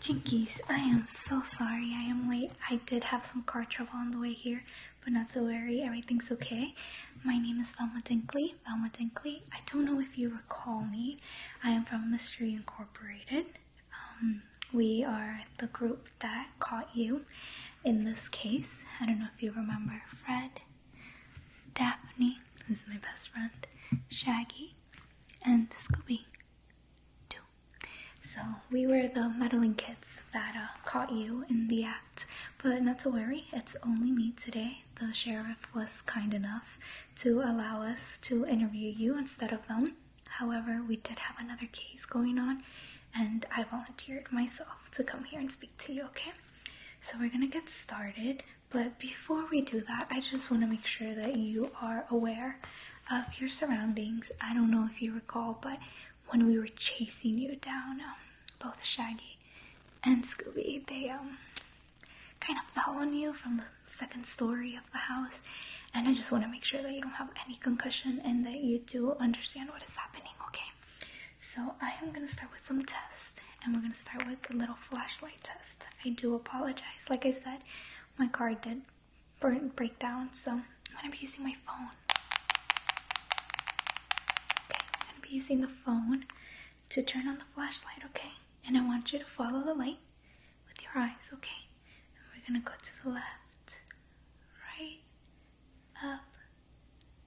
Jinkies, I am so sorry I am late. I did have some car trouble on the way here, but not so worry, everything's okay. My name is Velma Dinkley. Velma Dinkley, I don't know if you recall me. I am from Mystery Incorporated. Um, we are the group that caught you in this case. I don't know if you remember Fred, Daphne, who's my best friend, Shaggy, and Scooby do. So we were the meddling kids that uh, caught you in the act, but not to worry, it's only me today. The sheriff was kind enough to allow us to interview you instead of them. However, we did have another case going on, and I volunteered myself to come here and speak to you, okay? So we're gonna get started, but before we do that, I just want to make sure that you are aware of your surroundings. I don't know if you recall, but when we were chasing you down, um, both Shaggy and Scooby, they um kind of fell on you from the second story of the house. And I just want to make sure that you don't have any concussion and that you do understand what is happening, okay? So I am gonna start with some tests, and we're gonna start with the little flashlight test. I do apologize, like I said, my car did burn break down, so I'm gonna be using my phone. Okay, I'm gonna be using the phone to turn on the flashlight, okay? And I want you to follow the light with your eyes, okay? And we're gonna go to the left, right, up,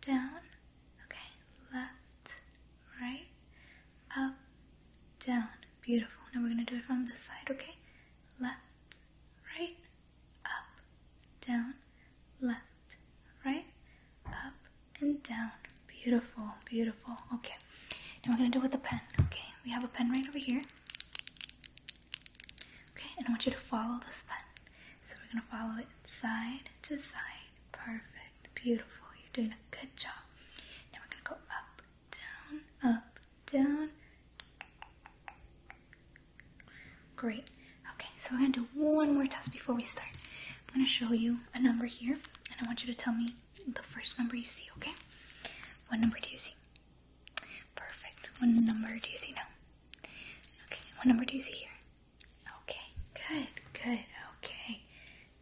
down, okay? Left, right, up, down. Beautiful. Now we're going to do it from the side, okay? Left, right, up, down, left, right, up, and down. Beautiful, beautiful. Okay. Now we're going to do it with a pen, okay? We have a pen right over here. Okay, and I want you to follow this pen. So we're going to follow it side to side. Perfect. Beautiful. You're doing a good job. Now we're going to go up, down, up, down. Great. Okay, so we're gonna do one more test before we start. I'm gonna show you a number here, and I want you to tell me the first number you see, okay? What number do you see? Perfect. What number do you see now? Okay, what number do you see here? Okay, good, good, okay.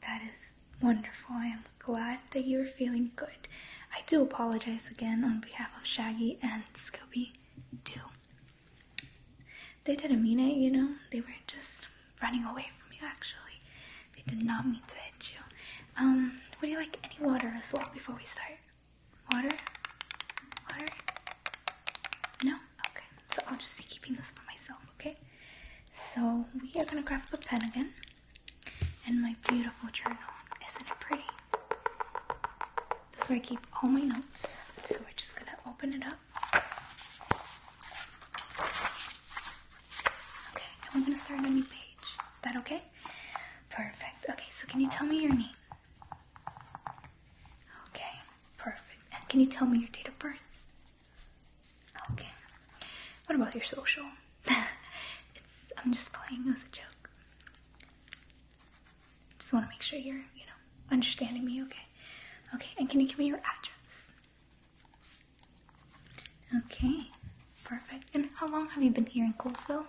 That is wonderful. I am glad that you're feeling good. I do apologize again on behalf of Shaggy and Scooby Doo. They didn't mean it, you know. They were just running away from you, actually. They did not mean to hit you. Um, would you like any water as well before we start? Water? Water? No? Okay. So I'll just be keeping this for myself, okay? So we are gonna grab the pen again and my beautiful journal. Isn't it pretty? This is where I keep all my notes. So we're just gonna open it up. Okay, now I'm gonna start a new page. Is that okay? Perfect. Okay, so can you tell me your name? Okay, perfect. And can you tell me your date of birth? Okay. What about your social? it's I'm just playing It was a joke. Just want to make sure you're, you know, understanding me, okay? Okay, and can you give me your address? Okay, perfect. And how long have you been here in Colesville?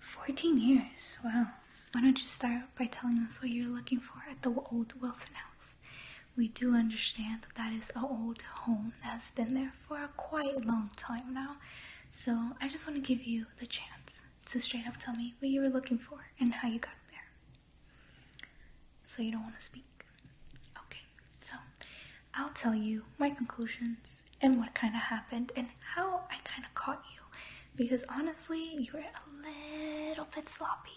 14 years, wow. Why don't you start by telling us what you're looking for at the old Wilson house? we do understand that that is an old home that's been there for a quite long time now. So I just want to give you the chance to straight up tell me what you were looking for and how you got there. So you don't want to speak. Okay, so I'll tell you my conclusions and what kind of happened and how I kind of caught you because honestly, you were a little bit sloppy.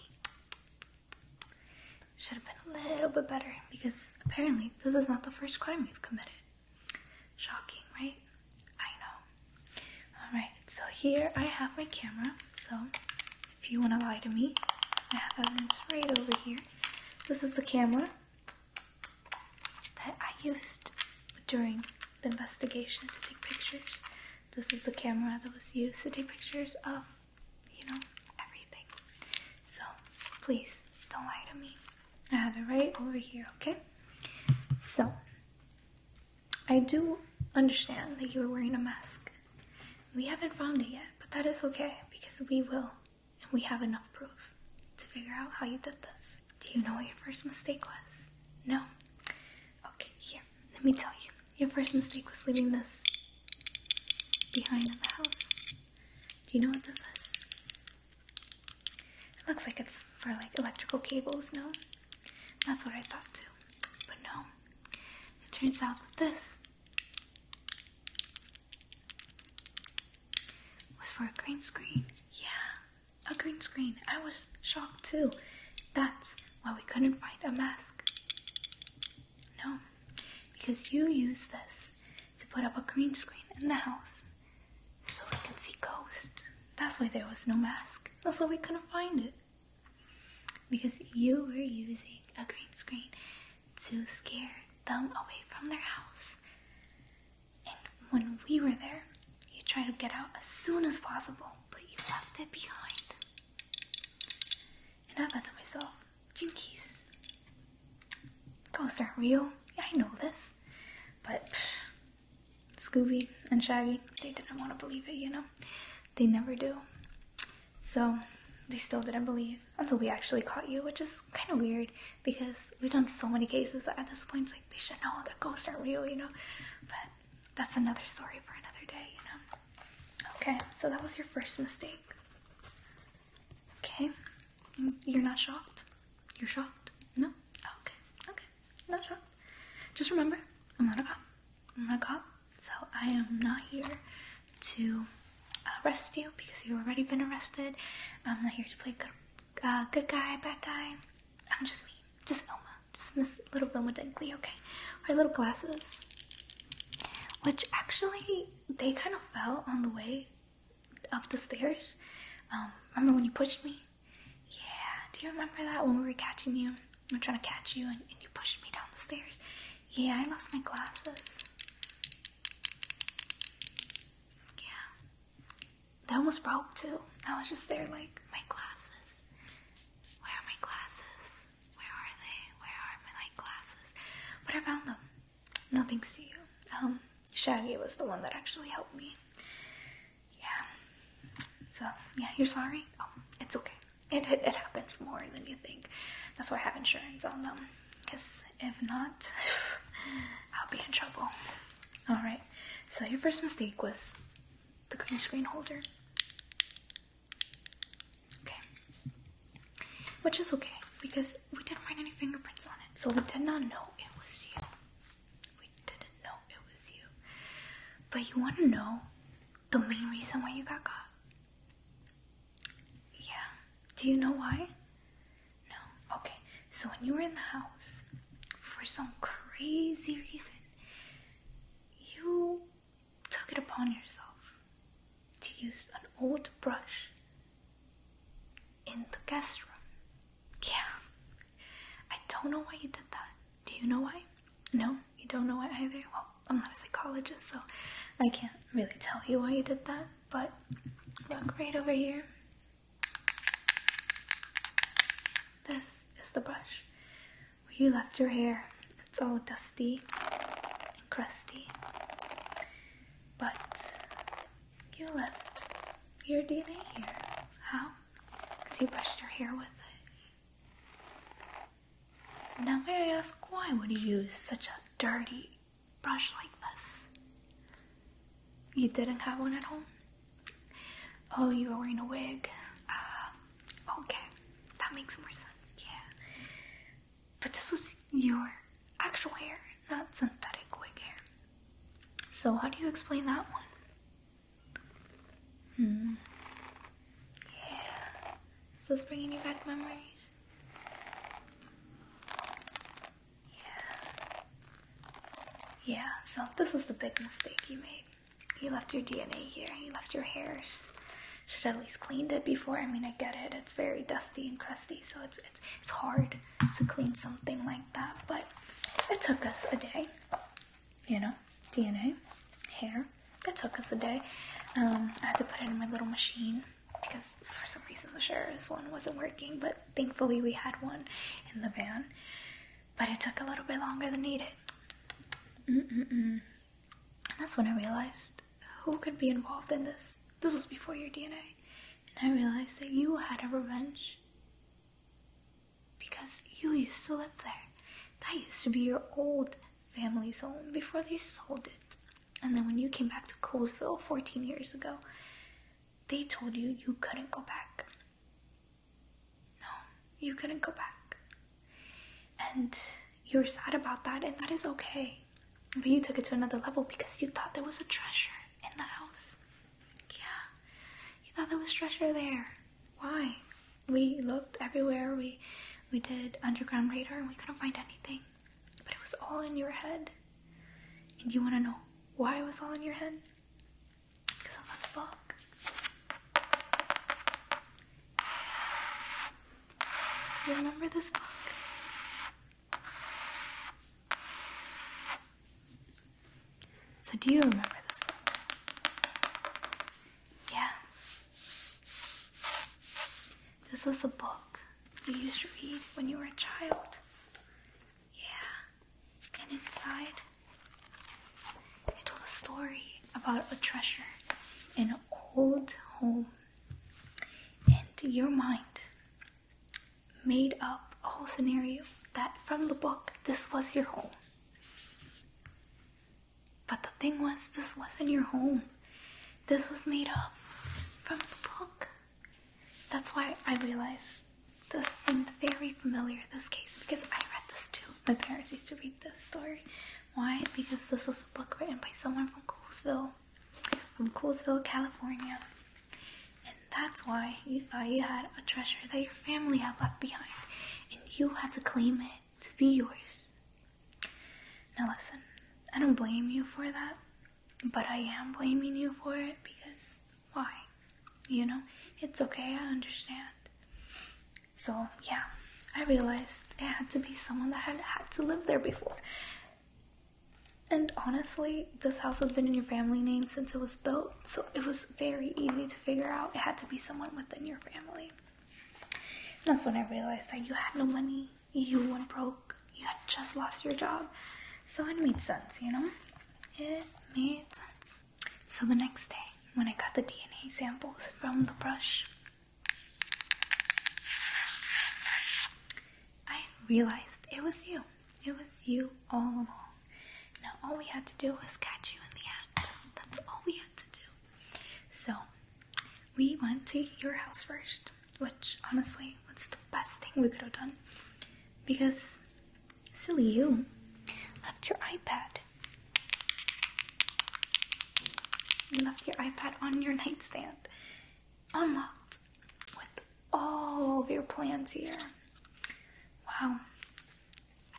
Should have been a little bit better because apparently this is not the first crime we've committed. Shocking, right? I know. Alright, so here I have my camera. So if you want to lie to me, I have evidence right over here. This is the camera that I used during the investigation to take pictures. This is the camera that was used to take pictures of you know, everything. So please don't lie to me. I have it right over here, okay? So I do understand that you were wearing a mask. We haven't found it yet, but that is okay because we will and we have enough proof to figure out how you did this. Do you know what your first mistake was? No? Okay, here, let me tell you. Your first mistake was leaving this behind the house. Do you know what this is? It looks like it's for like electrical cables, no? That's what I thought too. But no. It turns out that this was for a green screen. Yeah, a green screen. I was shocked too. That's why we couldn't find a mask. No, because you used this to put up a green screen in the house so we could see Ghost. That's why there was no mask. That's why we couldn't find it. Because you were using a green screen to scare them away from their house. And when we were there, you tried to get out as soon as possible, but you left it behind. And I thought to myself, Jinkies. Ghosts aren't real. Yeah, I know this. But Scooby and Shaggy, they didn't want to believe it, you know? They never do. So they still didn't believe until we actually caught you, which is kind of weird because we've done so many cases at this point. It's like they should know that ghosts aren't real, you know? But that's another story for another day, you know? Okay, so that was your first mistake. Okay. You're not shocked? You're shocked? No? Okay. Okay. Not shocked. Just remember, I'm not a cop. I'm not a cop. So I am not here to uh, arrest you because you've already been arrested. I'm not here to play good, uh, good guy, bad guy. I'm just me. Just Elma. Just Miss Little Wilma Dinkley, okay? our little glasses, which actually they kind of fell on the way up the stairs. Um, remember when you pushed me? Yeah, do you remember that when we were catching you? I'm trying to catch you and you pushed me down the stairs. Yeah, I lost my glasses. Yeah. They almost broke too. I was just there like, my glasses. Where are my glasses? Where are they? Where are my night glasses? But I found them. No thanks to you. Um, Shaggy was the one that actually helped me. Yeah. So, yeah, you're sorry? Oh, it's okay. it, it happens more than you think. That's why I have insurance on them. Because if not, I'll be in trouble. Alright, so your first mistake was the green screen holder. Okay. Which is okay because we didn't find any fingerprints on it, so we did not know it was you. We didn't know it was you. But you want to know the main reason why you got caught? Yeah. Do you know why? No. Okay. So when you were in the house, for some crazy reason, you took it upon yourself to use an old brush in the guest room. Yeah, I don't know why you did that. Do you know why? No, you don't know why either? Well, I'm not a psychologist, so I can't really tell you why you did that, but look right over here. This is the brush where you left your hair. It's all dusty and crusty. But you left your DNA here. How? Because you brushed your hair with it. Now may I ask why would you use such a dirty brush like this? You didn't have one at home? Oh, you were wearing a wig. Um, Okay, that makes more sense, yeah. But this was your actual hair, not synthetic wig hair. So, how do you explain that one? Hmm. Yeah. Is this bringing you back memories? Yeah. Yeah, so this was the big mistake you made. You left your DNA here, you left your hairs should at least cleaned it before. I mean, I get it; it's very dusty and crusty, so it's it's it's hard to clean something like that. But it took us a day, you know, DNA, hair. It took us a day. Um, I had to put it in my little machine because for some reason the sheriff's one wasn't working, but thankfully we had one in the van. But it took a little bit longer than needed. And that's when I realized who could be involved in this. This was before your DNA. And I realized that you had a revenge because you used to live there. That used to be your old family's home before they sold it. And then when you came back to Colesville 14 years ago, they told you you couldn't go back. No, you couldn't go back and you were sad about that, and that is okay. But you took it to another level because you thought there was a treasure in the house. Yeah, you thought there was treasure there. Why? We looked everywhere. We we did underground radar, and we couldn't find anything. But it was all in your head. And you want to know why it was all in your head? Because of this book, you Remember this book? So, do you remember this book? Yeah. This was a book you used to read when you were a child. Yeah. And inside, I told a story about a treasure in an old home, and your mind made up a whole scenario that from the book this was your home. But the thing was, this wasn't your home. This was made up from the book. That's why I realized this seemed very familiar, this case, because I read this too. My parents used to read this story why? Because this was a book written by someone from Coolsville, from Coolsville, California. And that's why you thought you had a treasure that your family had left behind, and you had to claim it to be yours. Now, listen, I don't blame you for that, but I am blaming you for it because why? You know, it's okay, I understand. So yeah, I realized it had to be someone that had had to live there before. And honestly, this house has been in your family name since it was built, so it was very easy to figure out it had to be someone within your family. that's when I realized that you had no money, you went broke, you had just lost your job. So it made sense, you know? It made sense. So the next day, when I got the DNA samples from the brush. I realized it was you. It was you all along. Now, all we had to do was catch you in the act. That's all we had to do. So, we went to your house first, which honestly was the best thing we could have done. Because, silly you, left your iPad you left your iPad on your nightstand, unlocked, with all of your plans here. Wow.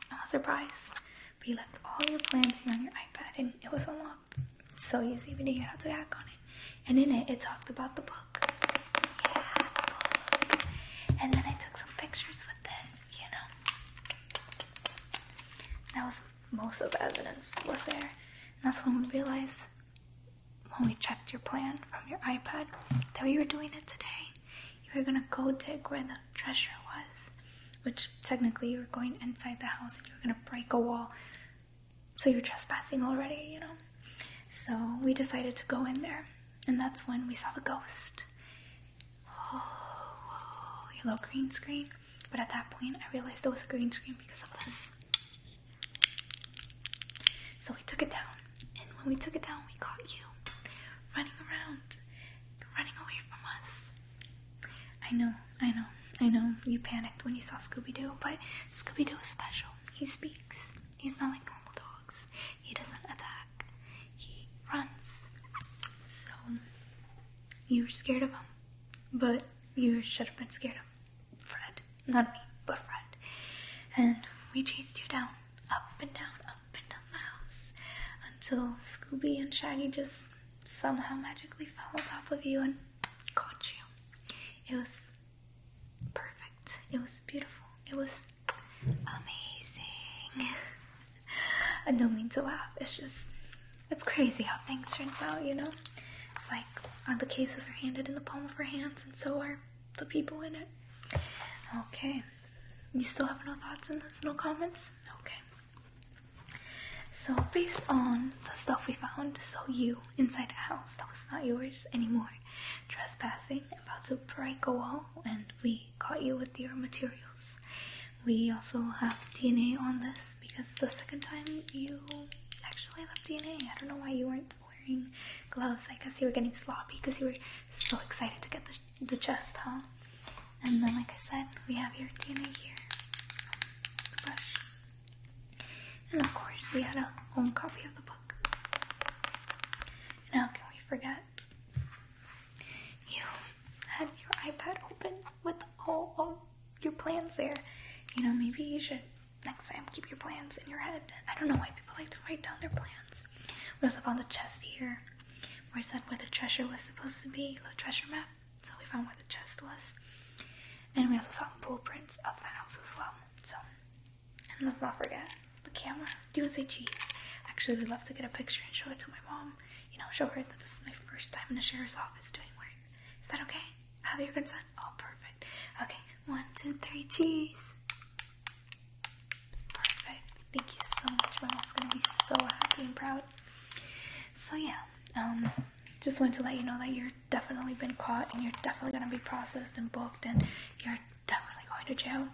Not a surprise. But you left all your plans here on your iPad and it was unlocked. so easy, we didn't have to hack on it. And in it, it talked about the book. Yeah, And then I took some pictures with it you know. That was most of the evidence was there. And that's when we realized when we checked your plan from your iPad that we were doing it today. You were gonna go dig where the treasure was, which technically you were going inside the house and you were gonna break a wall. So you're trespassing already, you know? So we decided to go in there, and that's when we saw the ghost oh, yellow green screen. But at that point, I realized it was a green screen because of this. So we took it down, and when we took it down, we caught you running around, running away from us. I know, I know, I know. You panicked when you saw Scooby Doo, but Scooby Doo is special. He speaks. He's not like normal dogs. He doesn't attack. He runs. So you were scared of him, but you should have been scared of Fred. Not me, but Fred. And we chased you down, up and down, up and down the house, until Scooby and Shaggy just somehow magically fell on top of you and caught you. It was perfect. It was beautiful. It was amazing. I don't mean to laugh. It's just, it's crazy how things turns out, you know? It's like all the cases are handed in the palm of our hands, and so are the people in it. Okay. You still have no thoughts on this? No comments? Okay. So, based on the stuff we found, so you inside a house that was not yours anymore, trespassing, about to break a wall, and we caught you with your materials. We also have DNA on this because the second time you actually left DNA, I don't know why you weren't wearing gloves. I guess you were getting sloppy because you were so excited to get the, chest, huh? And then, like I said, we have your DNA here, And of course, we had a home copy of the book. Now, can we forget you had your iPad open with all of your plans there. You know, maybe you should next time keep your plans in your head. I don't know why people like to write down their plans. We also found the chest here, Where is that? where the treasure was supposed to be, the treasure map. So we found where the chest was. And we also saw blueprints of the house as well. So, and let's not forget the camera. Do you want to say cheese? Actually, we'd love to get a picture and show it to my mom you know, show her that this is my first time in the sheriff's office doing work. Is that okay? have your consent? Oh, perfect. Okay, one, two, three, cheese. Perfect. Thank you so much. My mom's gonna be so happy and proud. So yeah, um, just wanted to let you know that you're definitely been caught and you're definitely gonna be processed and booked and you're definitely going to jail.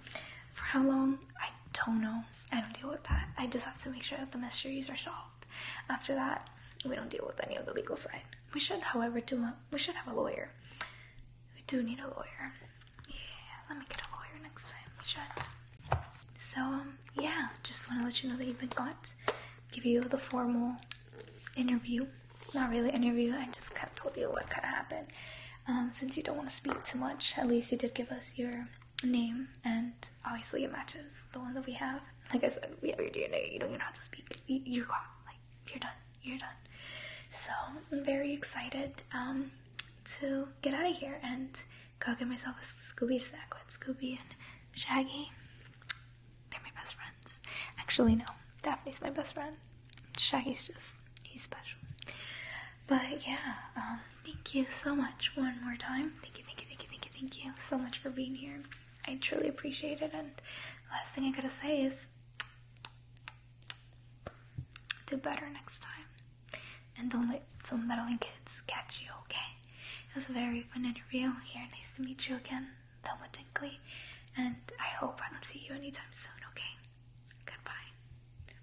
For how long? I don't know. I don't deal with that. I just have to make sure that the mysteries are solved. After that, we don't deal with any of the legal side. We should, however, do a, we should have a lawyer. We do need a lawyer. Yeah, let me get a lawyer next time. We should. So um, yeah, just want to let you know that you've been caught. Give you the formal interview. Not really interview. I just kind of told you what could happen. Um, since you don't want to speak too much, at least you did give us your name, and obviously it matches the one that we have. Like I said, we have your DNA. You don't even have to speak. You're gone. Like you're done. You're done. So I'm very excited um, to get out of here and go get myself a Scooby snack with Scooby and Shaggy. They're my best friends. Actually, no, Daphne's my best friend. Shaggy's just he's special. But yeah, um, thank you so much one more time. Thank you, thank you, thank you, thank you, thank you so much for being here. I truly appreciate it. And last thing I gotta say is do better next time. And don't let some meddling kids catch you, okay? It was a very fun interview here. Nice to meet you again, Velma Dinkley. And I hope I don't see you anytime soon, okay? Goodbye.